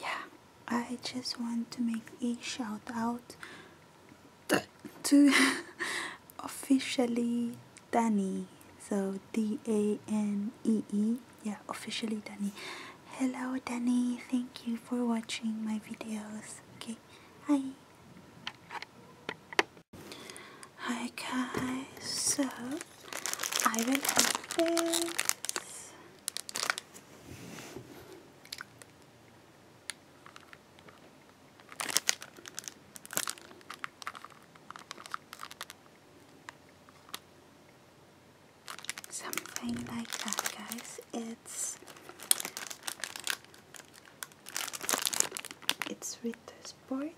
yeah I just want to make a shout out to officially Danny so D-A-N-E-E -E. yeah officially Danny hello Danny thank you for watching my videos okay hi hi guys so I will have this Something like that, guys. It's it's with the sport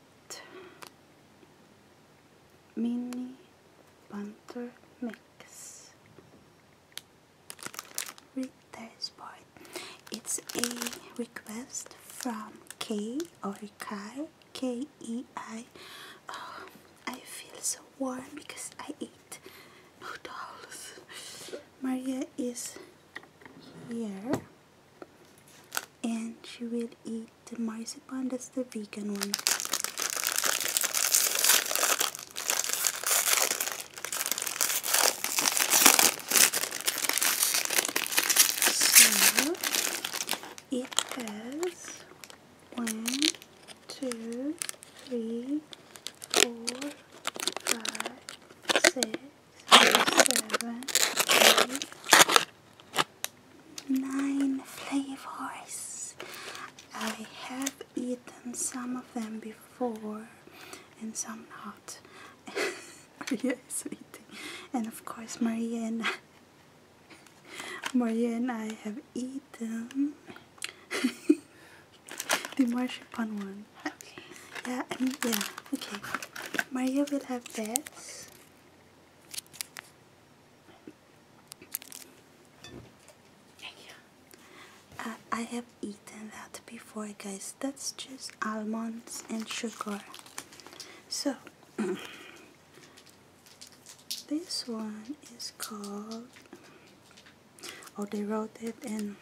mini Banter Mix Read It's a request from K or Kai K E oh, I. feel so warm because I ate noodles. Maria is here and she will eat the marzipan, that's the vegan one. So it has one, two, three, four, five, six, seven, eight, nine flavors. I have eaten some of them before and some not. Maria is eating. And of course Maria and I, Maria I have eaten the marzipan one. Yeah, I yeah, okay. Maria will have this. Uh, I have eaten that before guys that's just almonds and sugar so this one is called oh they wrote it in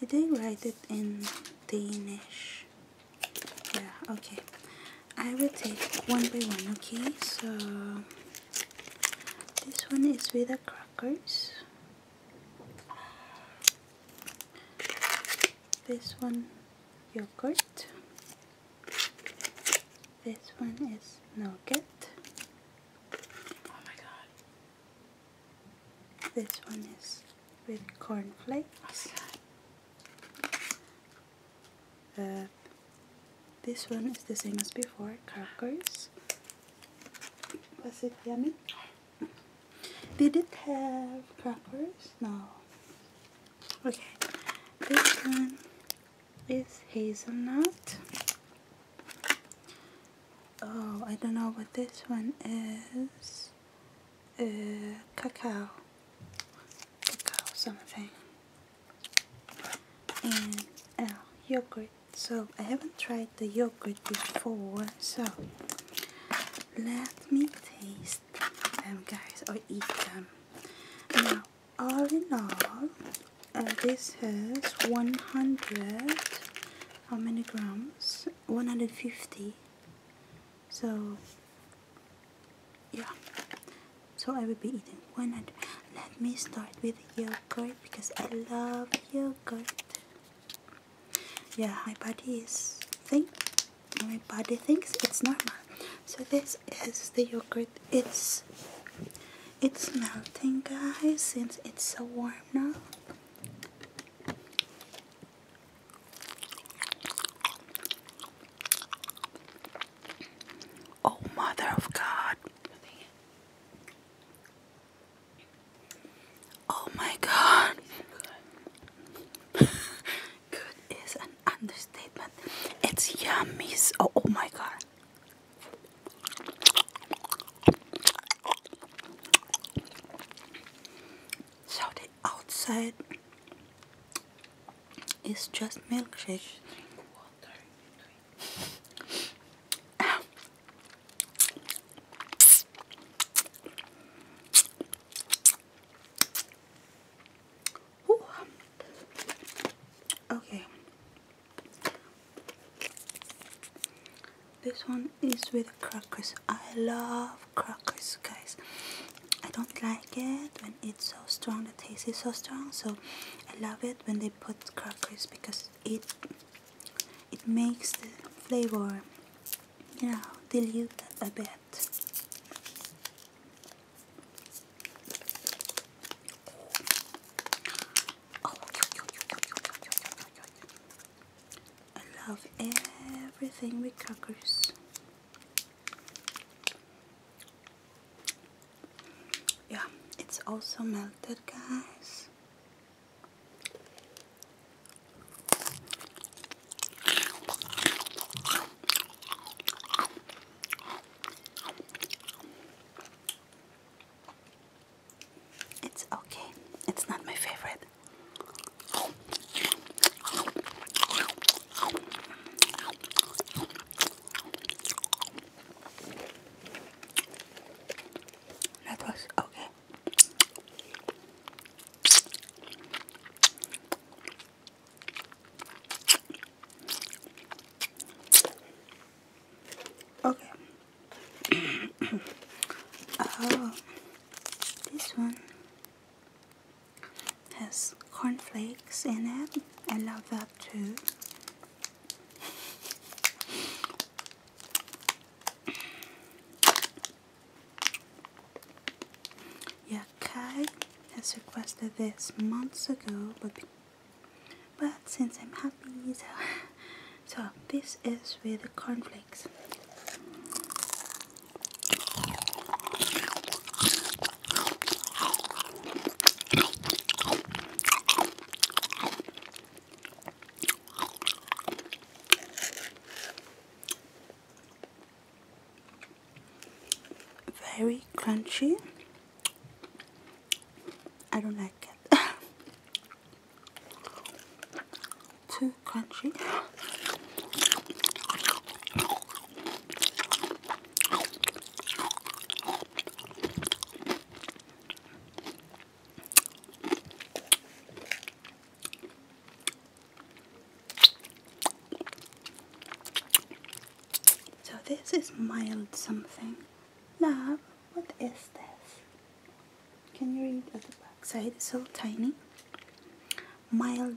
did they write it in Danish yeah okay I will take one by one okay so this one is with the crackers this one yogurt this one is nugget oh my god this one is with cornflakes oh uh, this one is the same as before, crackers. Was it yummy? Did it have crackers? No. Okay, this one is hazelnut. Oh, I don't know what this one is uh, cacao, cacao something, and uh, yogurt. So I haven't tried the yogurt before, so let me taste them guys or eat them. Now, all in all, uh, this has 100, how many grams? 150 so yeah so I will be eating 100 let me start with yogurt because I love yogurt yeah my body is think my body thinks it's normal so this is the yogurt it's it's melting guys since it's so warm now Oh, Mother of God. Oh, my God. Good is an understatement. It's yummy. Oh, my God. So, the outside it's just milkshake. okay. This one is with crackers. I love crackers guys I don't like it when it's so strong the taste is so strong so I love it when they put crackers because it it makes the flavor you know diluted a bit I love everything with crackers yeah, it's also melted, guys. It's okay. It's not my favorite. That was okay. Okay. oh, this one has cornflakes in it. I love that too. Yakai has requested this months ago, but but since I'm happy, so so this is with cornflakes. Very crunchy. I don't like it. too crunchy. So this is mild something. Now, what is this? Can you read at the back side? It's so tiny. Mild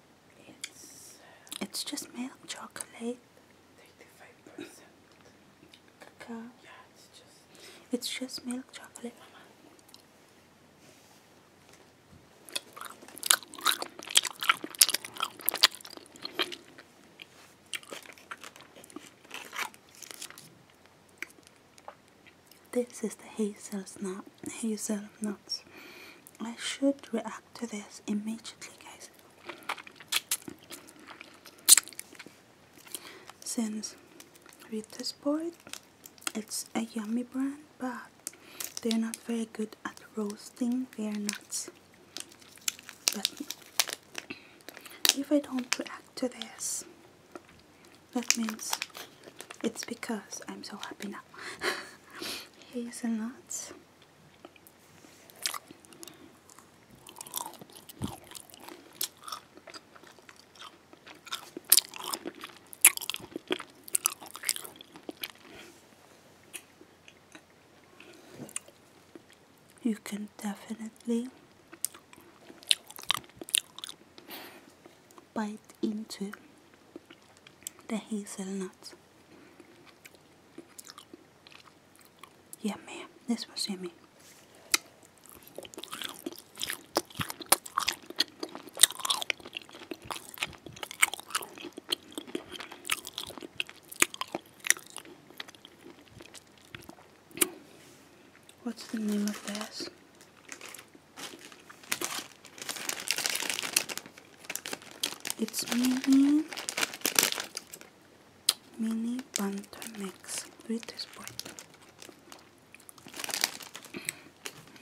It's just milk chocolate. 35% it's just It's just milk chocolate. Mama. This is the hazelnut hazelnuts. I should react to this immediately guys since with this board it's a yummy brand but they're not very good at roasting their nuts but if I don't react to this that means it's because I'm so happy now nuts. You can definitely bite into the hazelnuts. Yeah, man, this was yummy. What's the name of this? It's mini mini mix. three teaspoons.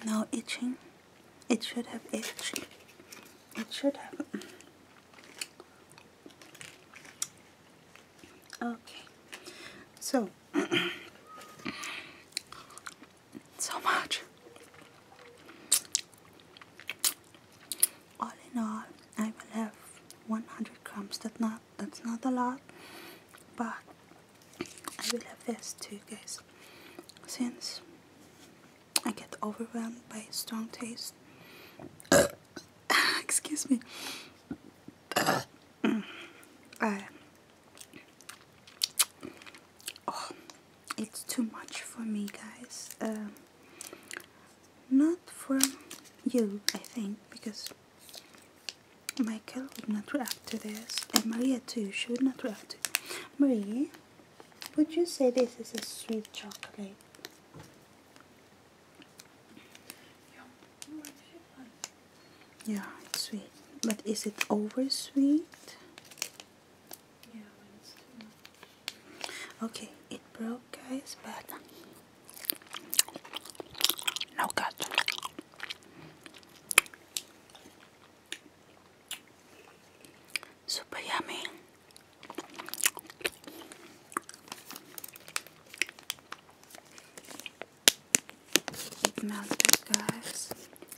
Now itching. It should have itched. It should have. Okay. So. so much all in all I will have 100 crumbs. that's not that's not a lot but I will have this too guys since I get overwhelmed by strong taste excuse me oh, it's too much for me guys um, not for you I think because Michael would not react to this and Maria too she would not react to it. Maria would you say this is a sweet chocolate yeah it's sweet but is it oversweet? Okay, it broke, guys, but no cut. Super yummy. It melted, guys.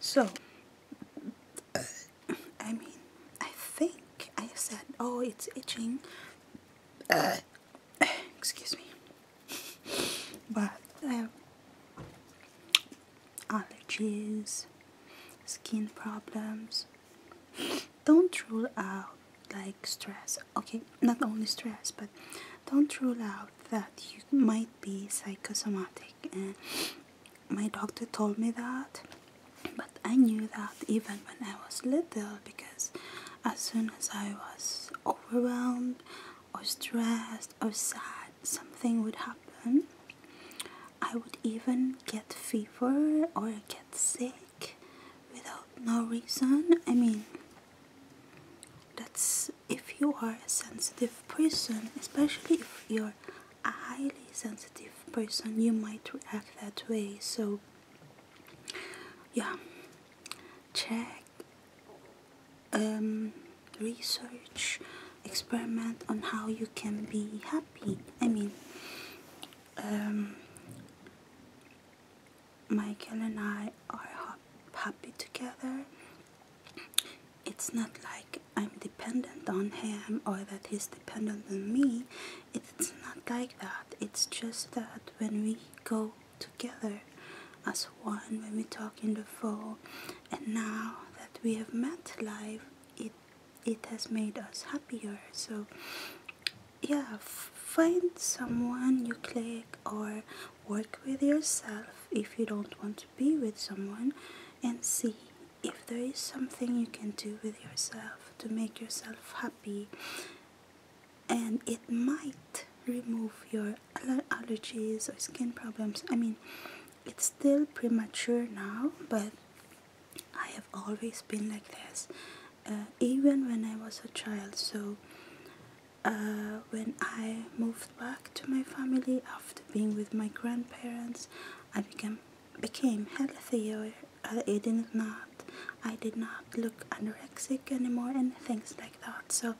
So, uh, I mean, I think I said, oh, it's itching. Uh, excuse me. But uh, allergies, skin problems. Don't rule out like stress. Okay, not only stress, but don't rule out that you might be psychosomatic and my doctor told me that but I knew that even when I was little because as soon as I was overwhelmed or stressed or sad something would happen I would even get fever or get sick without no reason I mean that's if you are a sensitive person, especially if you're a highly sensitive person, you might react that way. So, yeah, check, um, research, experiment on how you can be happy. I mean, um, Michael and I are happy together. It's not like I'm dependent on him or that he's dependent on me. It's not like that. It's just that when we go together as one, when we talk in the phone, and now that we have met live, it it has made us happier. So yeah, find someone you click or Work with yourself if you don't want to be with someone and see if there is something you can do with yourself to make yourself happy. And it might remove your allergies or skin problems. I mean, it's still premature now, but I have always been like this, uh, even when I was a child. So uh, when I moved back to my family after being with my grandparents, I became became healthier. I did not, I did not look anorexic anymore, and things like that. So,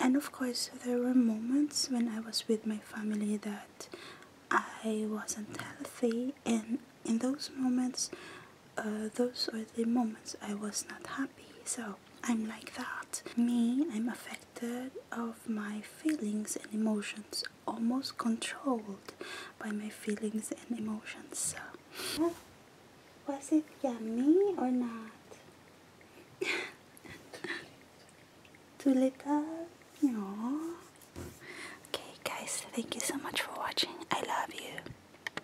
and of course, there were moments when I was with my family that I wasn't healthy, and in those moments, uh, those are the moments I was not happy. So I'm like that. Me, I'm affected of my feelings and emotions, almost controlled by my feelings and emotions. was it yummy or not? Too little? No. Okay, guys, thank you so much for watching. I love you.